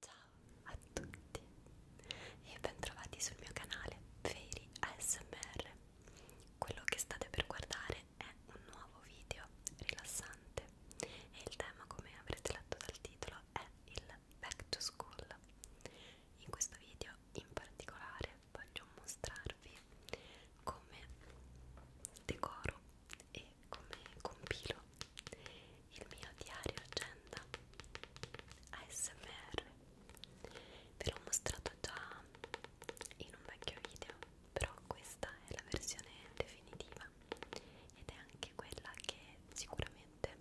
Ciao a tutti e bentrovati sul mio canale Veri ASMR. Quello che state per guardare è un nuovo video rilassante e il tema, come avrete letto dal titolo, è il Back to School. In questo video in particolare voglio mostrarvi come decoro e come compilo il mio diario agenda ASMR ve l'ho mostrato già in un vecchio video però questa è la versione definitiva ed è anche quella che sicuramente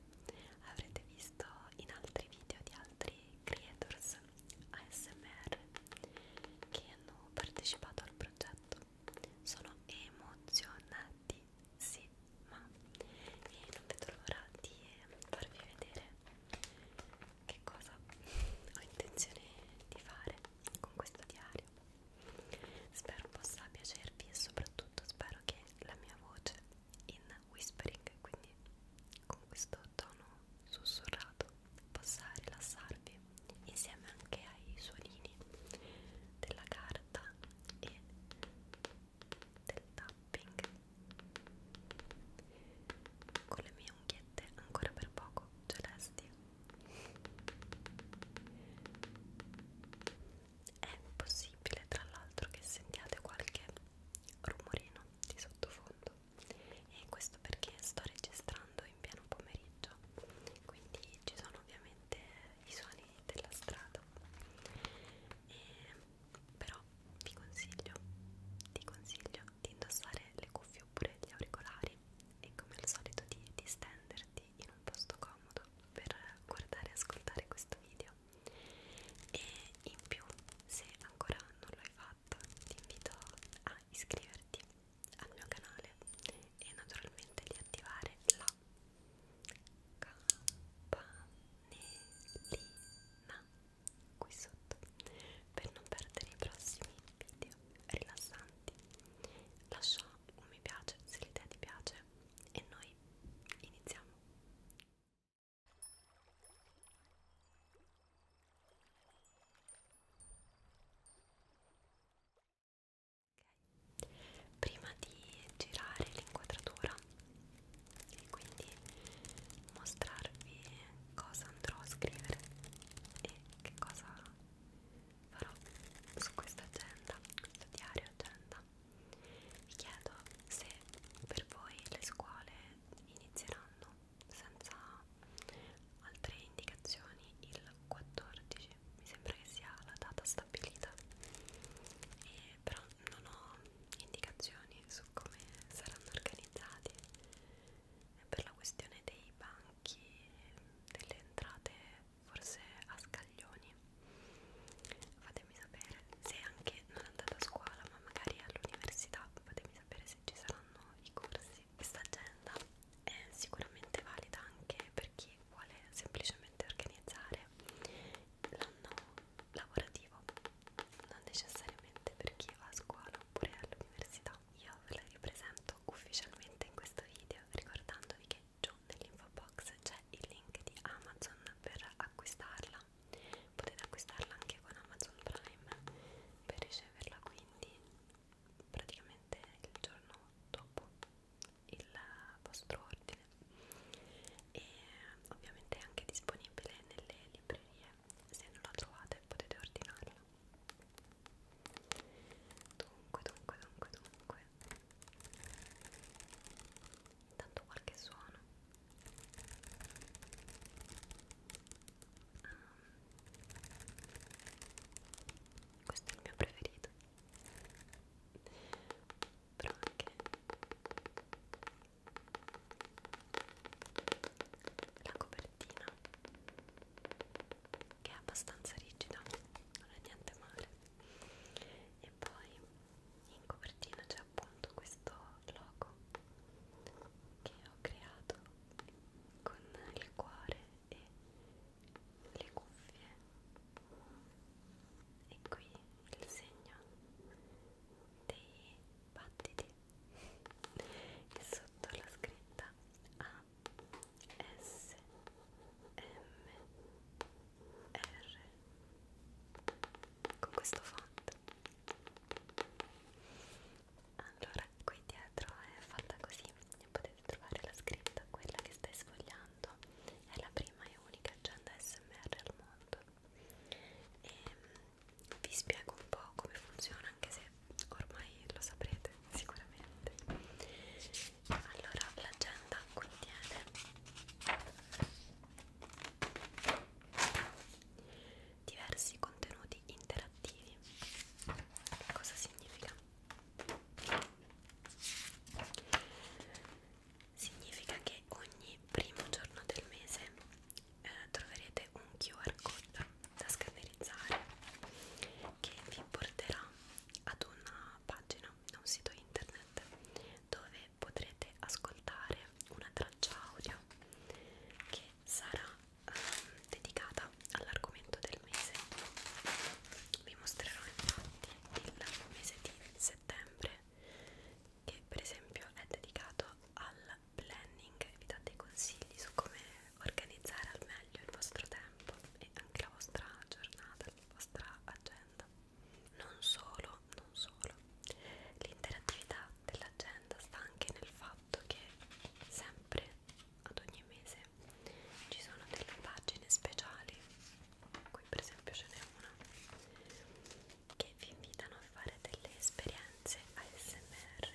avrete visto in altri video di altri creators ASMR che hanno partecipato al progetto sono emozionati sì, ma e non vedo l'ora di farvi vedere che cosa ho intenzione di fare con questo diario. Spero possa piacervi e soprattutto spero che la mia voce in whispering, quindi con questo tono sussurrato, possa rilassarvi insieme anche ai suonini della gara carta e del tapping con le mie unghiette ancora per poco celesti è possibile tra l'altro che sentiate qualche rumorino di sottofondo e questo perché sto registrando in pieno pomeriggio quindi ci sono ovviamente i suoni della strada e, però vi consiglio ti consiglio di indossare le cuffie oppure gli auricolari e come al solito di distenderti in un posto comodo per guardare e ascoltare questo video e in più se ancora non l'hai fatto ti invito a iscriverti al mio canale e naturalmente di attivare la campanellina qui sotto per non perdere i prossimi video rilassanti lascia un mi piace se l'idea ti piace e noi iniziamo ok? Prima di girare l'inquadratura e quindi mostrarvi cosa andrò a scrivere e che cosa farò su questa agenda, questo diario agenda. Vi chiedo se per voi le scuole inizieranno senza altre indicazioni il 14 mi sembra che sia la data stabilita e però non ho indicazioni su come saranno organizzati per la questione dei banchi delle entrate forse a scaglioni fatemi sapere se anche non andate a scuola ma magari all'università fatemi sapere se ci saranno i corsi questa agenda è sicuramente valida anche per chi che vuole semplicemente organizzare l'anno lavorativo, non necessariamente per chi va a scuola oppure all'università. Io ve la ripresento ufficialmente in questo video ricordandovi che giù nell'info box c'è il link di Amazon per acquistarla. Potete acquistarla anche con Amazon Prime per riceverla quindi praticamente il giorno dopo il vostro ordine e ovviamente è anche disponibile nelle librerie se non la trovate potete ordinarla dunque dunque dunque dunque tanto qualche suono um, questo è il mio preferito però anche la copertina che è abbastanza rigida non è niente male e poi in copertina c'è appunto questo logo che ho creato con il cuore e le cuffie e qui il segno dei battiti che sotto la scritta A S M R con questo font allora qui dietro è fatta così e potete di trovare la scritta, quella che stai sfogliando è la prima e unica agenda SMR al mondo e mm, vi spiego un po' come funziona anche se ormai lo saprete sicuramente allora l'agenda contiene diversi contenuti interattivi cosa significa? Significa che ogni primo giorno del mese eh, troverete un QR code da scannerizzare che vi porterà ad una pagina, a un sito internet dove potrete ascoltare una traccia audio che sarà eh, dedicata all'argomento del del mese vi mostrerò infatti il mese di settembre che per esempio è dedicato al planning e vi dà dei consigli su come organizzare al meglio il vostro tempo e anche la vostra giornata, la vostra agenda non solo, non solo l'interattività dell'agenda sta anche nel fatto che sempre ad ogni mese ci sono delle pagine speciali qui per esempio ce n'è una che vi invitano a fare delle esperienze ASMR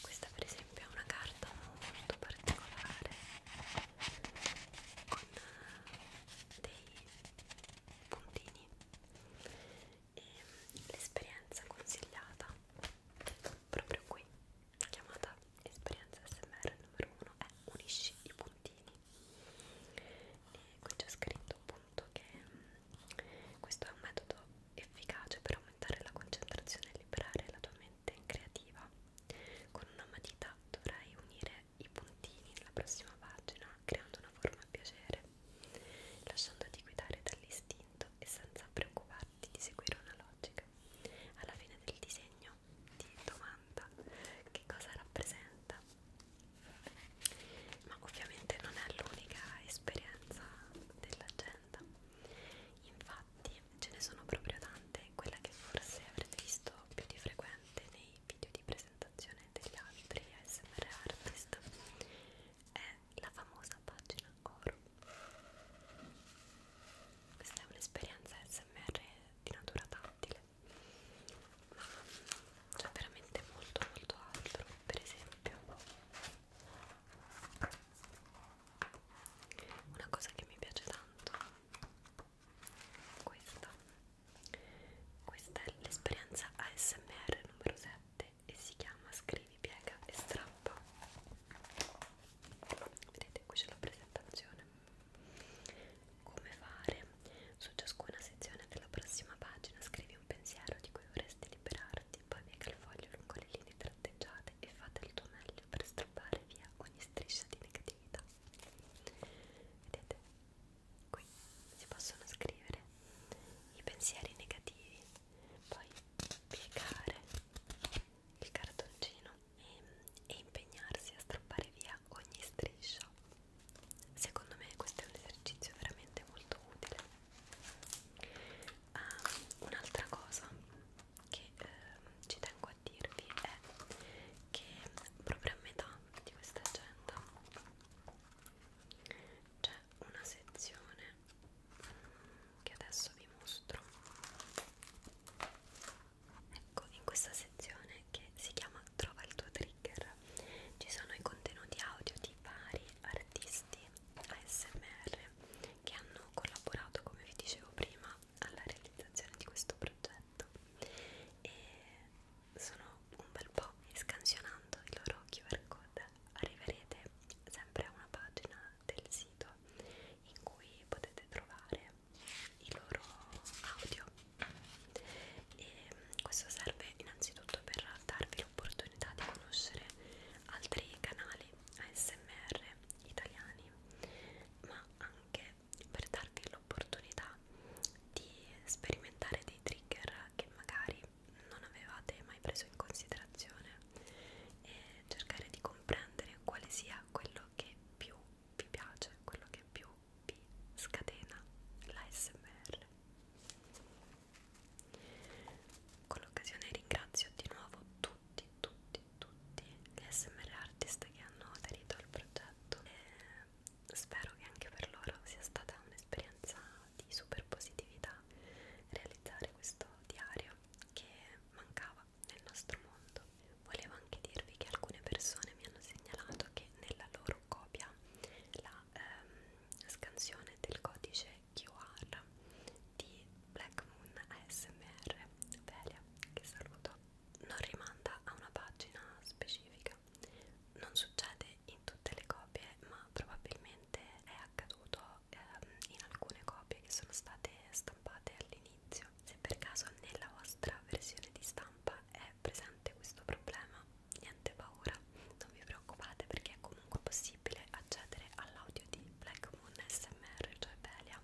questa per esempio è una carta molto particolare con eh, dei puntini e mm, l'esperienza consigliata proprio qui chiamata esperienza smr numero 1 è unisci i puntini e qui c'è scritto appunto che mh, mm, questo è un metodo efficace per aumentare la concentrazione e liberare la tua mente creativa con una matita dovrai unire i puntini nella prossima pagina creando una forma a piacere lasciandoti guidare dall'istinto e senza preoccuparti di seguire una logica alla fine del disegno ti domanda che cosa rappresenta ma ovviamente non è l'unica esperienza dell'agenda infatti ce ne sono proprio tante quella che forse avrete visto più di frequente nei video di presentazione degli altri ASMR artist è la famosa pagina oro questa è un'esperienza smr di natura tattile ma c'è veramente molto molto altro per esempio una cosa che mi piace tanto questa questa è l'esperienza ASMR numero 7 e si chiama scrivi piega e strappa vedete qui c'è la presentazione come fare su ciascuna sezione della prossima pagina scrivi un pensiero di cui vorresti liberarti poi piega il foglio lungo le linee tratteggiate e fate il tuo meglio per strappare via ogni striscia di negatività vedete qui si possono scrivere i pensieri negativi poi piegare il cartoncino e, e impegnarsi a strappare via ogni striscia. Secondo me questo è un esercizio veramente molto utile. Um, Un'altra cosa che eh, ci tengo a dirvi è che proprio a metà di questa agenda c'è una sezione mm, che adesso vi mostro ecco in questa sezione che si chiama trova il tuo trigger ci sono i contenuti audio di vari artisti ASMR che hanno collaborato come vi dicevo prima alla realizzazione di questo progetto e sono un bel po' e scansionando il loro QR code arriverete sempre a una pagina del sito in cui potete trovare i loro audio e mm, questo serve innanzitutto per darvi l'opportunità di conoscere altri canali ASMR italiani ma anche per darvi l'opportunità di sperimentare dei trigger che magari non avevate mai preso in considerazione e cercare di comprendere quale sia quello quello che più vi piace, quello che più vi scatena l'ASMR. Con l'occasione ringrazio di nuovo tutti, tutti, tutti gli ASMR artist che hanno aderito al progetto e spero che anche per loro sia stata un'esperienza di super positività realizzare questo diario che mancava nuova nel nostro mondo. Volevo anche dirvi che alcune persone mi hanno segnalato che nella loro copia la ehm, scansione del codice QR di Black Moon ASMR Velia, che saluto, non rimanda a una pagina specifica. Non succede in tutte le copie, ma probabilmente è accaduto ehm, in alcune copie che sono state stampate all'inizio video. Se per caso nella vostra versione di stampa è presente questo problema, niente paura, non vi preoccupate perché è comunque possibile accedere all'audio di Black Moon SMR, cioè Belia,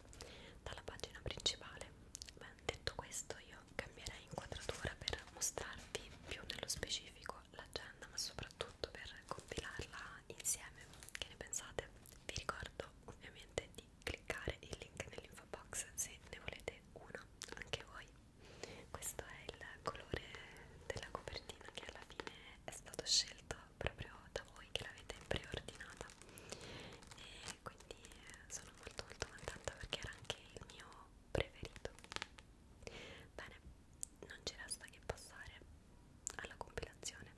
dalla pagina principale. Beh, detto questo io cambierei inquadratura per mostrarvi più nello specifico l'agenda, ma soprattutto per compilarla insieme. Che ne pensate? Vi ricordo ovviamente di di cliccare il link nell'info box se ne volete uno anche voi questo è il colore della copertina che alla fine è stato scelto proprio da voi che l'avete preordinata e quindi eh, sono molto molto contenta perché era anche il mio preferito bene non ci resta che passare alla compilazione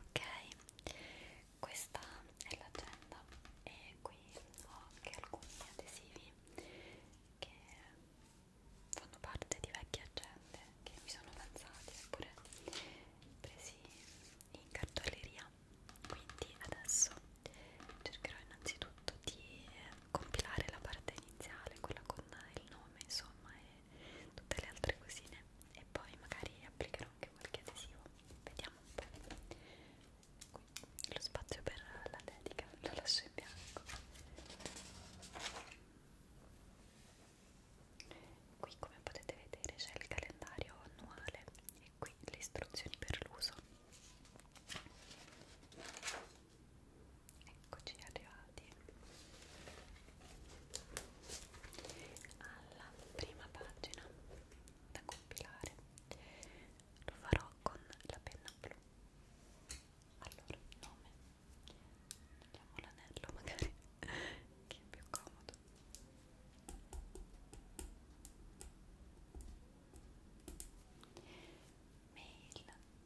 Ok, questa è l'agenda e qui ho anche alcuni adesivi che fanno parte di vecchie agende che mi sono avanzati oppure presi in cartoleria. Quindi adesso cercherò innanzitutto fatto di compilare la parte iniziale, quella con il nome insomma e tutte le altre cosine e poi magari applicherò anche qualche adesivo, vediamo un po'. Qui lo spazio per la dedica lo lascio in bianco. Qui come potete vedere c'è il calendario annuale e qui le istruzioni per l'uso Eccoci arrivati alla prima pagina da compilare. Lo farò con la penna blu. Allora, nome. Togliamo l'anello magari, che è più comodo. Mail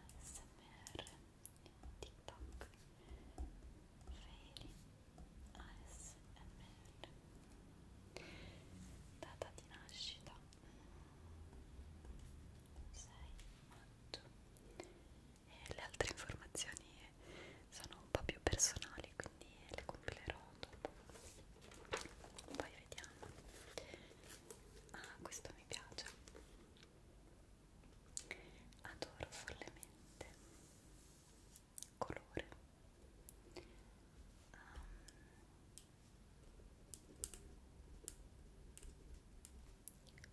ASMR TikTok Fairy ASMR Data di nascita 6 maggio e le altre informazioni sono un po' più personali quindi le compilerò dopo poi vediamo ah questo mi piace adoro follemente colore um,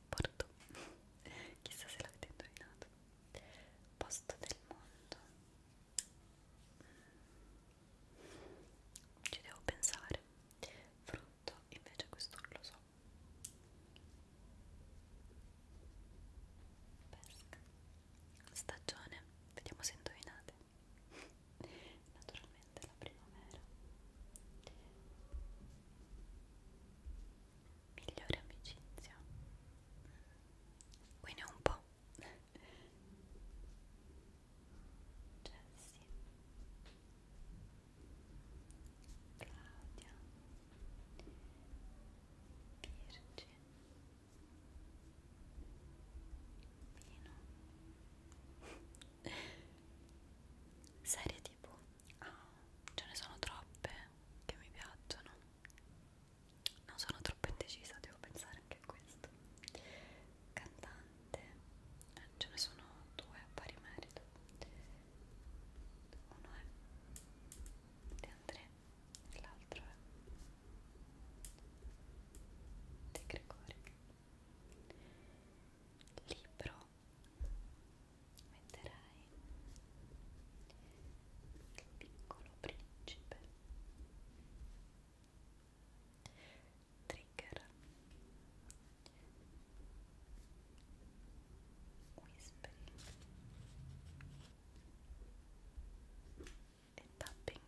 porto chissà se l'avete indovinato posto del mondo mm. ci devo pensare frutto invece questo non lo so pesca stagione vediamo se indovinate naturalmente la primavera migliore amicizia quindi un po' Jessie cioè, Claudia Virgin Pino Serie tv? Ah, ce ne sono troppe che mi piacciono non sono troppo indecisa, devo pensare anche a questo cantante eh, ce ne sono due a pari merito uno è De André e l'altro è De Gregori libro metterai il piccolo principe Trigger Whispering e Tapping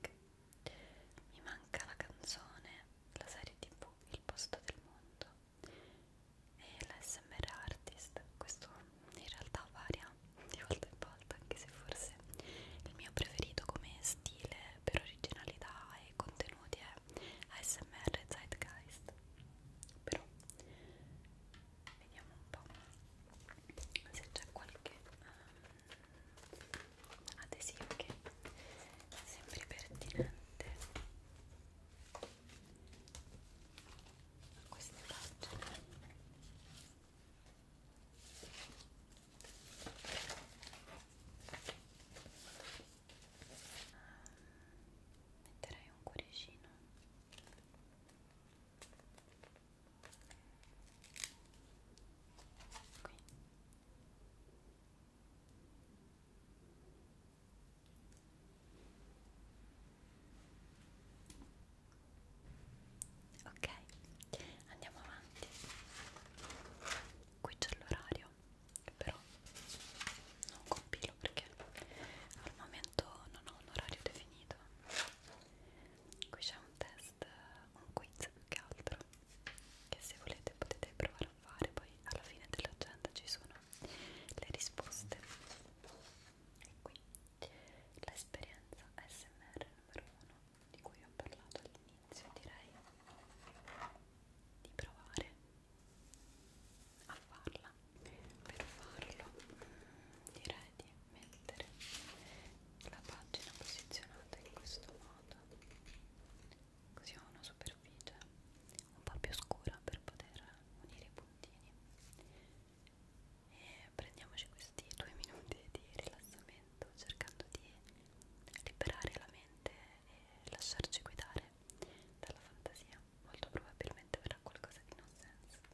mi manca la canzone, la serie tv Il posto del mondo e l'SMR Artist questo in realtà varia di volta in volta anche se forse il mio preferito come stile per originalità e contenuto contenuti è eh. ASMR Zeitgeist però vediamo un po' se c'è qualche um, adesivo che sembri pertinente a queste pagine metterei un cuoricino qui ok andiamo avanti qui c'è l'orario che però non compilo perché al momento non ho un orario definito qui c'è un test, un quiz più che altro che se volete potete provare a fare poi alla fine dell'agenda ci sono le risposte e qui l'esperienza SMR numero 1 di cui ho parlato all'inizio inizio direi di provare a farla per farlo direi di mettere la pagina posizionata in questo modo così ho una superficie un po' più scura per poter unire i puntini e prendiamoci questi due minuti di rilassamento cercando di liberare la mente e lasciarci guidare dalla fantasia, molto probabilmente verrà qualcosa di non senso. Ecco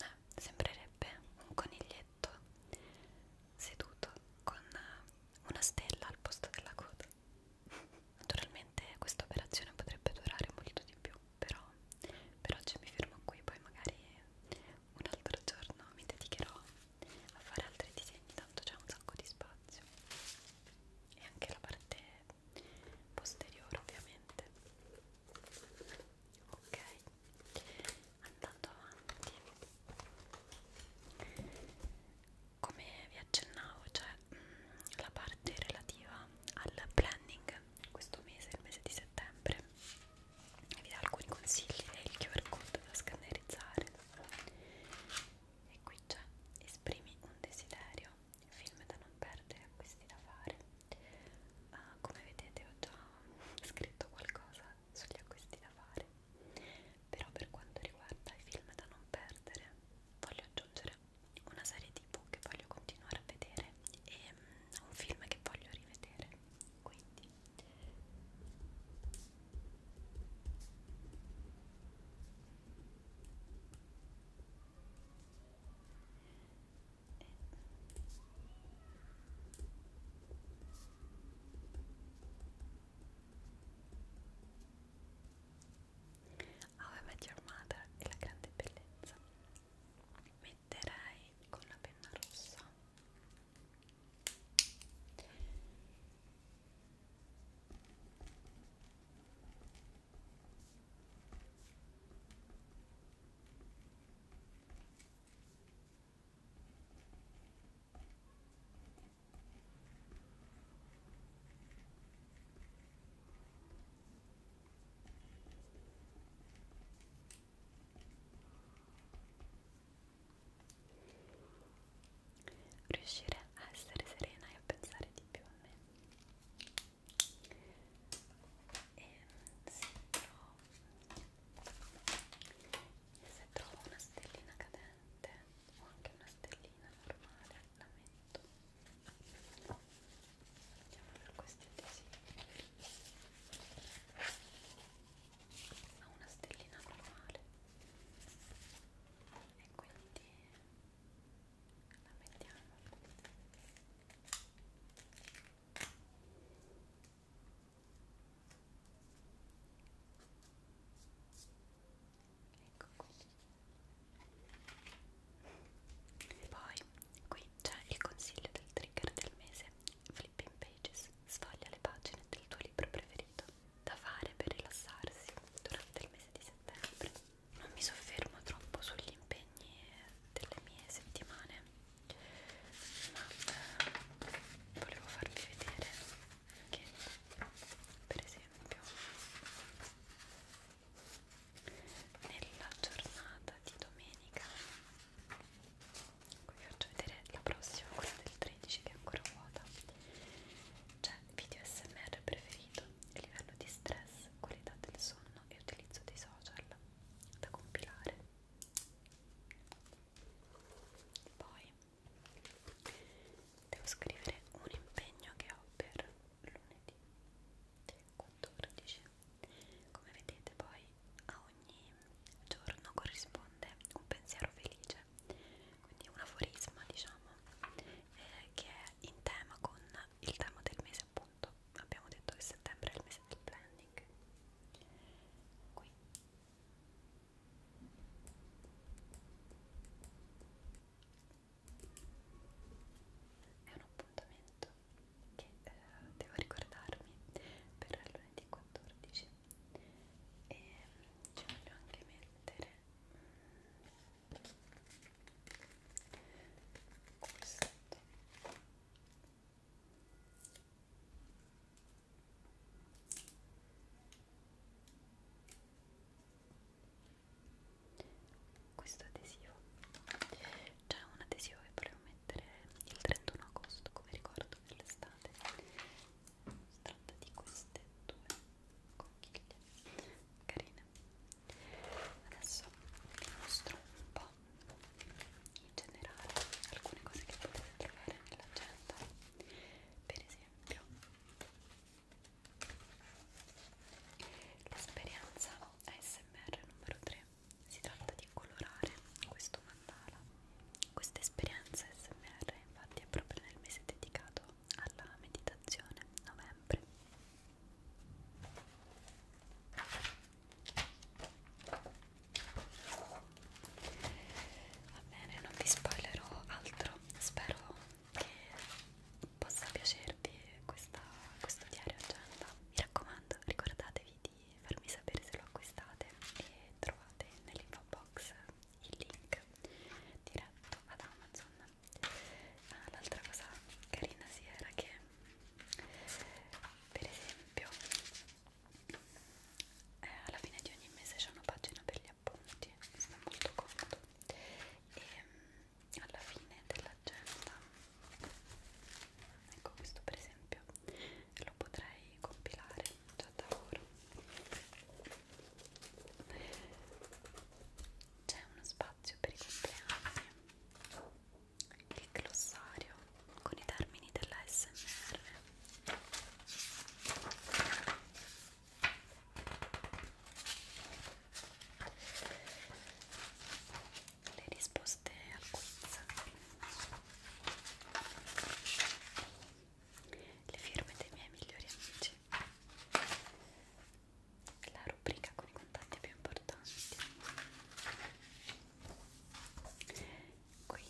eh, sembrerebbe un coniglietto seduto con una stella al posto della coda naturalmente questa operazione potrebbe durare molto di più però per oggi mi fermo qui poi magari un altro giorno mi dedicherò a fare altri disegni tanto c'è un sacco di spazio e anche la parte posteriore ovviamente ok andando avanti come vi accennavo c'è cioè, mm, la parte relativa al planning questo mese, il mese di settembre vi dà alcuni consigli e il QR code da scannerizzare e qui c'è esprimi un desiderio film da non perdere acquisti da fare Uh, come vedete ho già scritto qualcosa sugli acquisti da fare, però per quanto riguarda i film da non perdere voglio aggiungere una serie tv che voglio continuare a vedere e um, un film che voglio rivedere, quindi... Ave Your Mother è la grande bellezza metterei con la penna rossa Riuscire a essere serena e a pensare di più a me e se trovo, se trovo una stellina cadente o anche una stellina normale la metto andiamo per questi adesivi a una stellina normale e quindi la mettiamo Ecco qui. Poi qui c'è il consiglio del trigger del mese, Flipping Pages, sfoglia le pagine del tuo libro preferito, da fare per rilassarsi durante il mese di settembre. Non mi soffermo troppo sugli impegni mie, delle mie settimane ma eh, volevo farvi vedere che per esempio nella giornata di domenica vi faccio vedere la prossima quella del 13 che è ancora vuota c'è video smr preferito livello di stress qualità del sonno e utilizzo dei social da compilare poi devo scrivere un impegno che ho per lunedì 14 come vedete poi a ogni giorno corrisponde un pensiero felice quindi un aforisma diciamo eh, che è in tema con il tema del mese appunto appunto abbiamo detto che settembre è il mese del planning qui è un appuntamento che eh, devo ricordarmi per lunedì 14 e mm, ci voglio anche mettere questo questo adesivo c'è un adesivo che volevo mettere il 31 agosto come ricordo dell'estate si tratta di queste due conchiglie carine adesso vi mostro un po' po' in generale alcune cose che potete trovare nell'agenda per esempio l'esperienza ASMR numero 3 si tratta di colorare questo mandala questa esperienza ASMR infatti è proprio nel mese dedicato alla meditazione novembre Va bene, non vi spoilerò altro, spero che possa piacervi questa, questo diario agenda. Mi raccomando, ricordatevi di farmi sapere se lo acquistate e trovate nell'info box il link diretto ad Amazon. Ah, L'altra cosa carina si era che per esempio eh, alla fine di ogni mese c'è una pagina per gli appunti sta molto comodo e alla fine dell'agenda ecco questo per esempio lo potrei compilare già da ora c'è uno spazio per i compleanni il glossario con i termini della SMR le risposte al quiz le firme dei miei migliori amici la rubrica con i contatti più importanti qui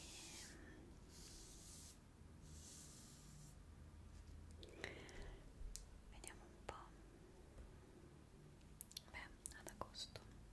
vediamo un po' beh, ad agosto Beh,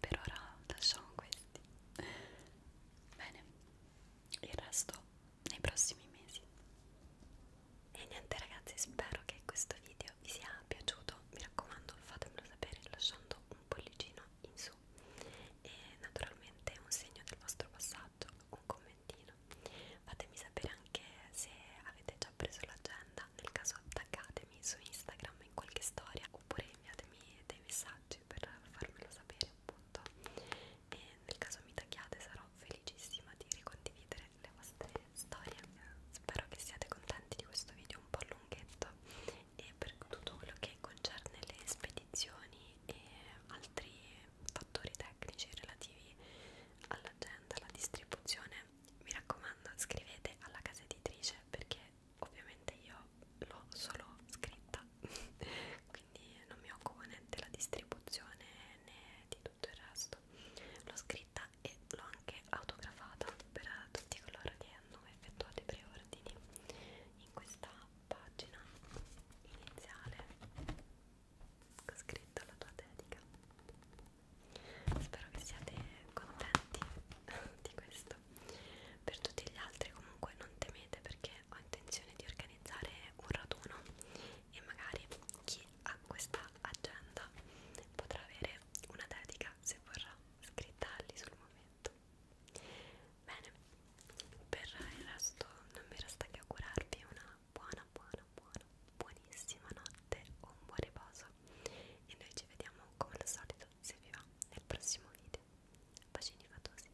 per ora lasciamo questi bene il resto nei prossimi mesi e niente ragazzi spero che questo video vi sia piaciuto mi raccomando fatemelo sapere lasciando un pollicino in su e naturalmente un segno del vostro passaggio un commentino fatemi sapere anche se avete già già preso l'agenda, nel caso attaccatemi su Instagram in qualche storia oppure inviatemi dei messaggi per farmelo sapere appunto e nel caso mi tagliate sarò felicissima di ricondividere le vostre storie spero che siate contenti di questo video un po' lunghetto e per tutto quello che concerne le spedizioni e altri fattori tecnici relativi all'agenda, alla distribuzione mi raccomando scrivete alla casa editrice perché ovviamente io l'ho solo scritta quindi non mi occupo né della distribuzione né di tutto il resto l'ho scritta e l'ho anche autografata per tutti coloro che hanno effettuato i preordini in questa pagina iniziale ho scritto la tua dedica spero che siate contenti di questo per tutti gli altri comunque non temete perché ho intenzione di organizzare un raduno e magari chi ha questa agenda potrà avere una dedica se vorrà scritta lì sul momento bene per il resto non mi resta che augurarvi una buona buona buona buonissima notte o un buon riposo e noi ci vediamo come al solito se vi va nel prossimo video bacini fatosi